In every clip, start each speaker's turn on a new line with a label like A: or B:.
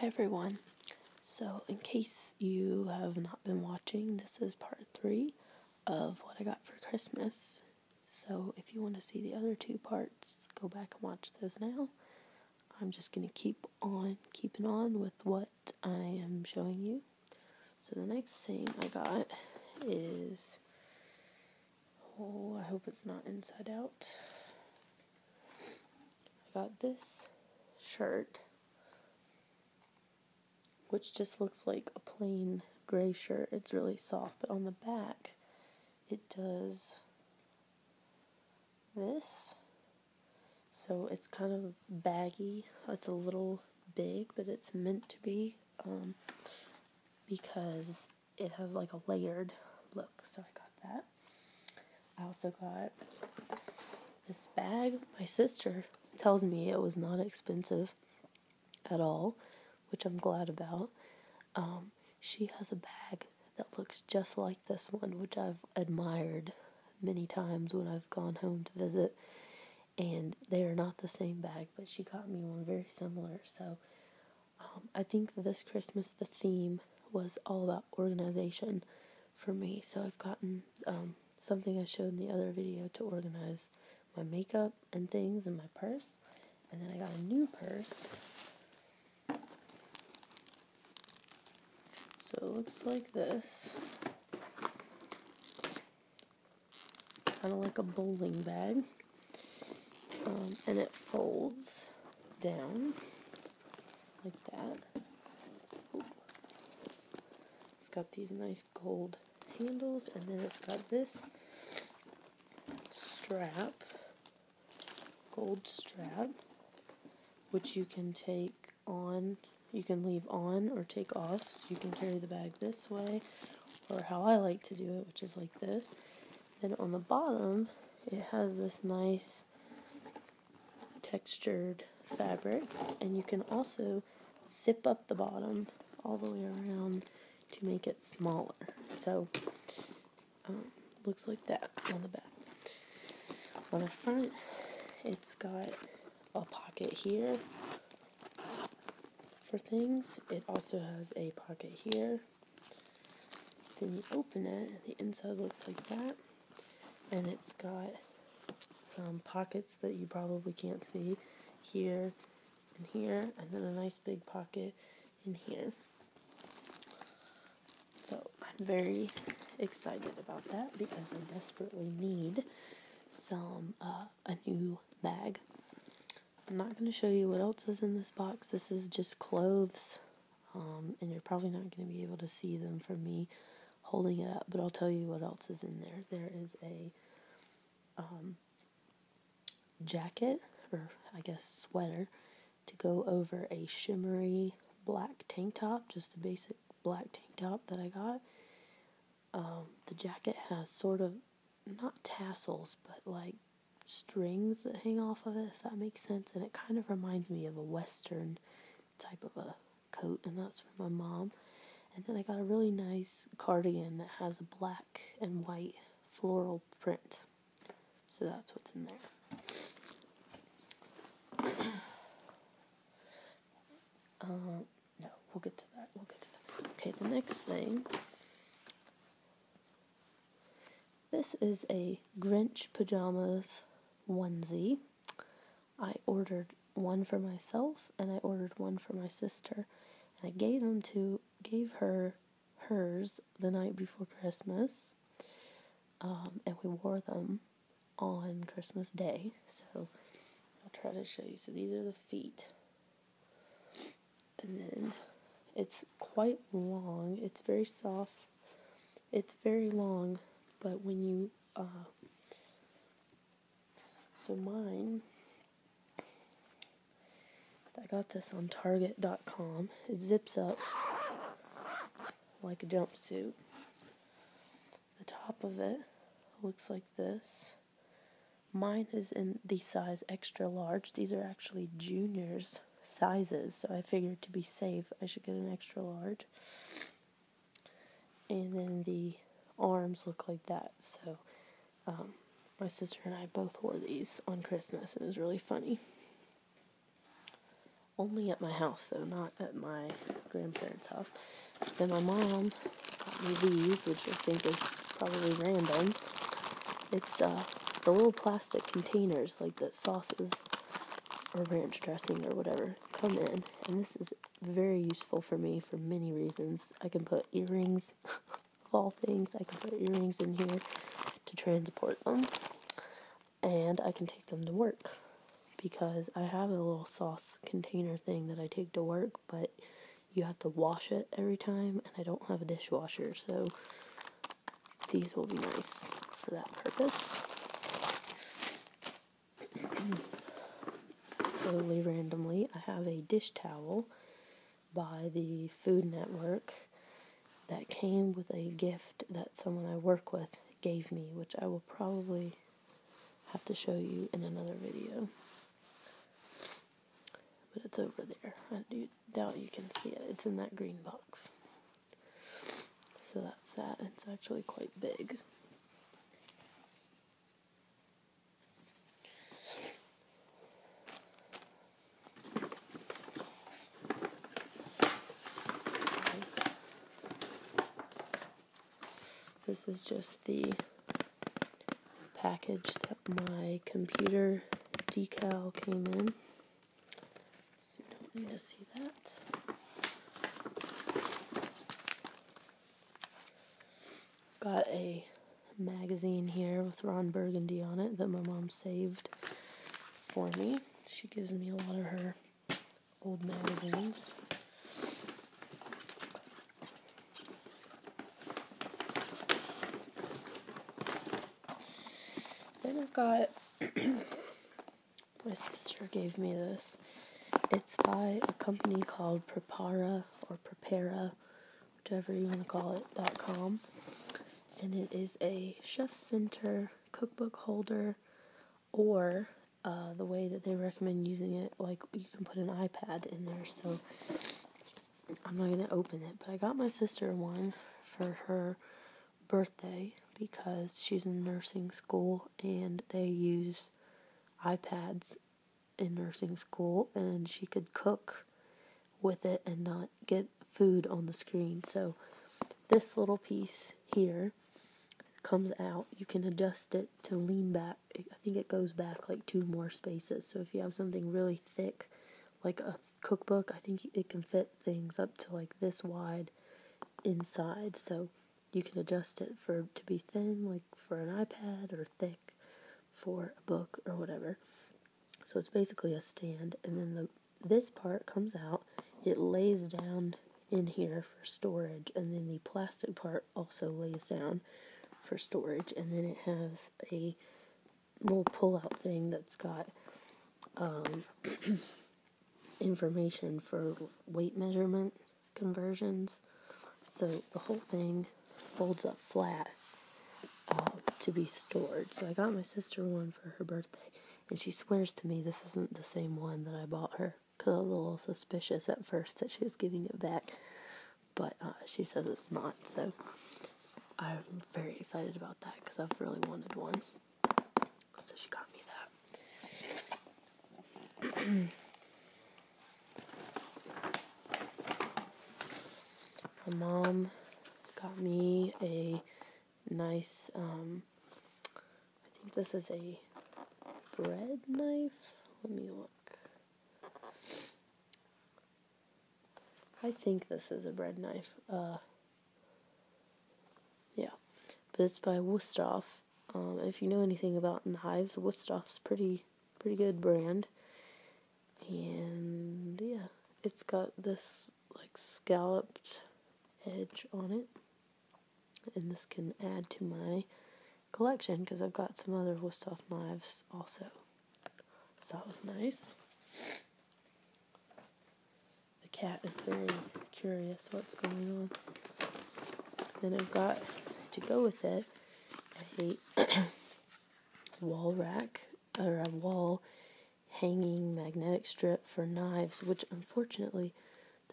A: Hi everyone. So, in case you have not been watching, this is part three of what I got for Christmas. So, if you want to see the other two parts, go back and watch those now. I'm just going to keep on keeping on with what I am showing you. So, the next thing I got is oh, I hope it's not inside out. I got this shirt, which just looks like a plain gray shirt. It's really soft, but on the back, it does this. So it's kind of baggy. It's a little big, but it's meant to be um, because it has like a layered look. So I got that. I also got this bag. My sister tells me it was not expensive at all, which I'm glad about. Um, she has a bag that looks just like this one, which I've admired many times when I've gone home to visit. And they are not the same bag, but she got me one very similar. So um, I think this Christmas the theme was all about organization for me. So I've gotten um, something I showed in the other video to organize my makeup and things in my purse. And then I got a new purse. So it looks like this. Kind of like a bowling bag. Um, and it folds down like that. It's got these nice gold handles, and then it's got this strap, gold strap, which you can take on, you can leave on or take off, so you can carry the bag this way, or how I like to do it, which is like this. Then on the bottom, it has this nice textured fabric, and you can also zip up the bottom all the way around to make it smaller. So, um, looks like that on the back. On the front, it's got a pocket here for things. It also has a pocket here then you open it, the inside looks like that, and it's got some pockets that you probably can't see here and here, and then a nice big pocket in here. So I'm very excited about that because I desperately need some uh, a new bag. I'm not going to show you what else is in this box. This is just clothes, um, and you're probably not going to be able to see them from me holding it up, but I'll tell you what else is in there. There is a um, jacket, or I guess sweater, to go over a shimmery black tank top, just a basic black tank top that I got. Um, the jacket has sort of not tassels, but like strings that hang off of it, if that makes sense. And it kind of reminds me of a Western type of a coat, and that's from my mom. And then I got a really nice cardigan that has a black and white floral print. So that's what's in there. Uh, no, we'll get to that. We'll get to that. Okay, the next thing this is a Grinch Pajamas onesie. I ordered one for myself and I ordered one for my sister. And I gave them to gave her hers the night before Christmas. Um, and we wore them on Christmas Day. So I'll try to show you. So these are the feet. And then it's quite long, it's very soft, it's very long, but when you, uh, so mine, I got this on Target.com, it zips up like a jumpsuit. The top of it looks like this. Mine is in the size extra large. These are actually juniors sizes, so I figured to be safe, I should get an extra large. And then the arms look like that, so um, my sister and I both wore these on Christmas, and it was really funny. Only at my house, though, not at my grandparents' house. Then my mom got me these, which I think is probably random. It's uh, the little plastic containers like that sauces or ranch dressing or whatever come in. And this is very useful for me for many reasons. I can put earrings, of all things, I can put earrings in here to transport them. And I can take them to work because I have a little sauce container thing that I take to work, but you have to wash it every time, and I don't have a dishwasher, so these will be nice for that purpose. totally randomly, I have a dish towel by the Food Network that came with a gift that someone I work with gave me, which I will probably have to show you in another video. But it's over there. I do doubt you can see it. It's in that green box. So that's that. It's actually quite big. This is just the package that my computer decal came in. So you don't need to see that. Got a magazine here with Ron Burgundy on it that my mom saved for me. She gives me a lot of her old magazines. Then I've got, my sister gave me this. It's by a company called Prepara or Prepara, whichever you want to call it, dot com. And it is a chef center cookbook holder or uh, the way that they recommend using it, like you can put an iPad in there. So I'm not gonna open it, but I got my sister one for her birthday because she's in nursing school and they use iPads in nursing school, and she could cook with it and not get food on the screen. So this little piece here here comes out, you can adjust it to lean back. I think it goes back like two more spaces. So if you have something really thick, like a cookbook, I think it can fit things up to like this wide inside. So you can adjust it for to be thin, like for an iPad, or thick for a book or whatever. So it's basically a stand, and then the this part comes out. It lays down in here for storage, and then the plastic part also lays down for storage, and then it has a little pull-out thing that's got um, information for weight measurement conversions. So the whole thing folds up flat uh, to be stored. So I got my sister one for her birthday, and she swears to me this isn't the same one that I bought her. Because I was a little suspicious at first that she was giving it back. But uh, she says it's not. So I'm very excited about that because I've really wanted one. So she got me that. My mom got me a nice, um, I think this is a bread knife. Let me look. I think this is a bread knife. Uh, yeah, but it's by Wusthof. Um, if you know anything about knives, Wustof's pretty pretty good brand, and yeah, it's got this like scalloped edge on it. And this can add to my collection because I've got some other Wusthof knives also. So that was nice. The cat is very curious what's going on. Then I've got to go with it I hate wall rack or a uh, wall hanging magnetic strip for knives, which unfortunately,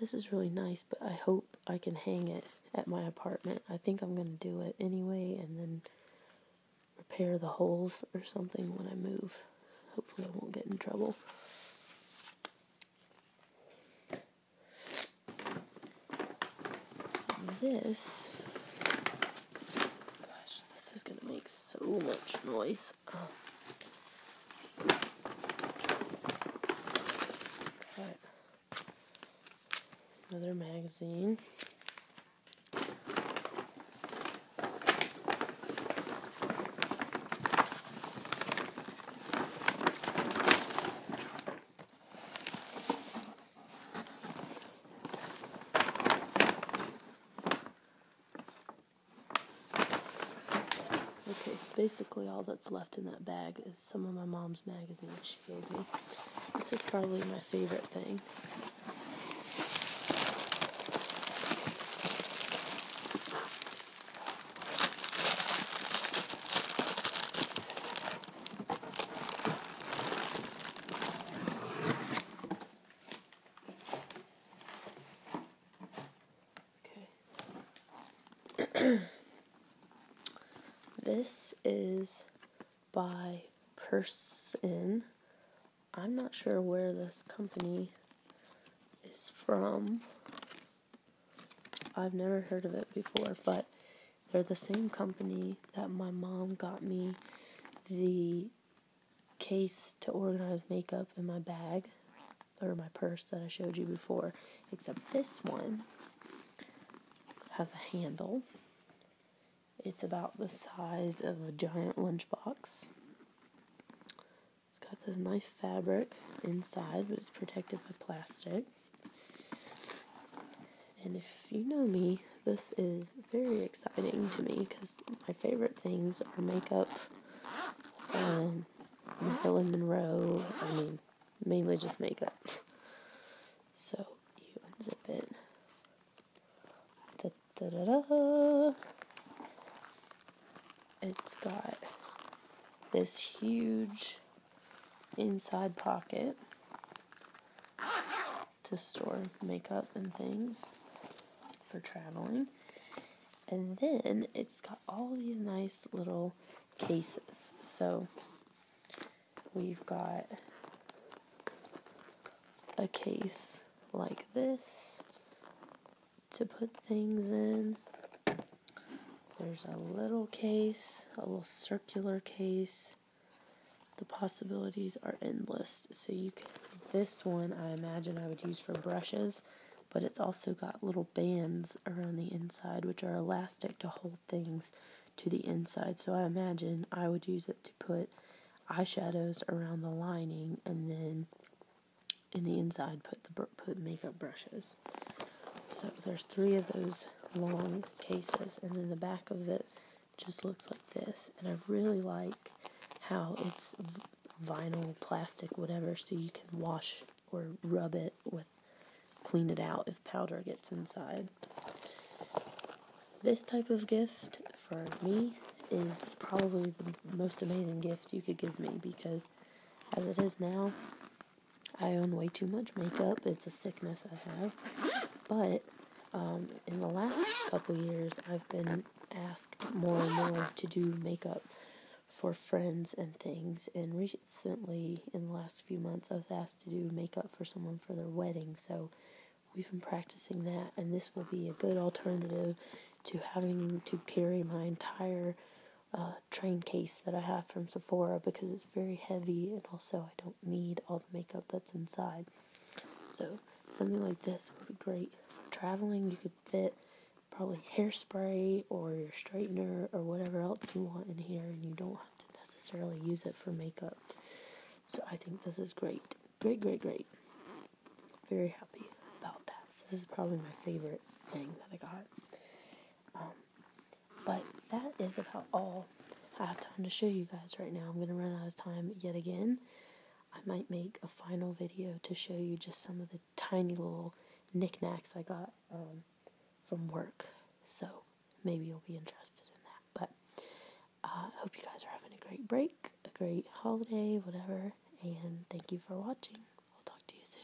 A: this is really nice, but I hope I can hang it at my apartment. I think I'm going to do it anyway and then repair the holes or something when I move. Hopefully, I won't get in trouble. This, gosh, this is going to make so much noise. Oh. another magazine. Okay, basically all that's left in that bag is some of my mom's magazines she gave me. This is probably my favorite thing. Okay. this is by person. I'm not sure where this company is from. I've never heard of it before, but they're the same company that my mom got me the case to organize makeup in my bag or my purse that I showed you before, except this one has a handle. It's about the size of a giant lunchbox. It's got this nice fabric inside, but it's protected by plastic. And if you know me, this is very exciting to me because my favorite things are makeup, um, Marilyn Monroe, I mean, mainly just makeup. So you unzip it. It's got this huge inside pocket to store makeup and things for traveling. And then it's got all these nice little cases. So we've got a case like this to put things in. There's a little case, a little circular case. The possibilities are endless. So you can, this one I imagine I would use for brushes, but it's also got little bands around the inside which are elastic to hold things to the inside. So I imagine I would use it to put eyeshadows around the lining and then in the inside put the put makeup brushes. So there's three of those long cases and then the back of it just looks like this. And I really like how it's vinyl, plastic, whatever, so you can wash or rub it with, clean it out if powder gets inside. This type of gift for me is probably the most amazing gift you could give me because as it is now, I own way too much makeup. It's a sickness I have. But um, in the last couple years, I've been asked more and more to do makeup for friends and things. And recently, in the last few months, I was asked to do makeup for someone for their wedding. So we've been practicing that, and this will be a good alternative to having to carry my entire uh, train case that I have from Sephora because it's very heavy and also I don't need all the makeup that's inside. So something like this would be great for traveling. You could fit probably hairspray or your straightener or whatever else you want in here, and you don't have to necessarily use it for makeup. So I think this is great. Great, great, great. Very happy about that. this is probably my favorite thing that I got. Um, but that is about all I have time to show you guys right now. I'm going to run out of time yet again. I might make a final video to show you just some of the tiny little knickknacks I got um, from work. So maybe you'll be interested in that. But uh, I hope you guys are having a great break, a great holiday, whatever. And thank you for watching. I'll talk to you soon.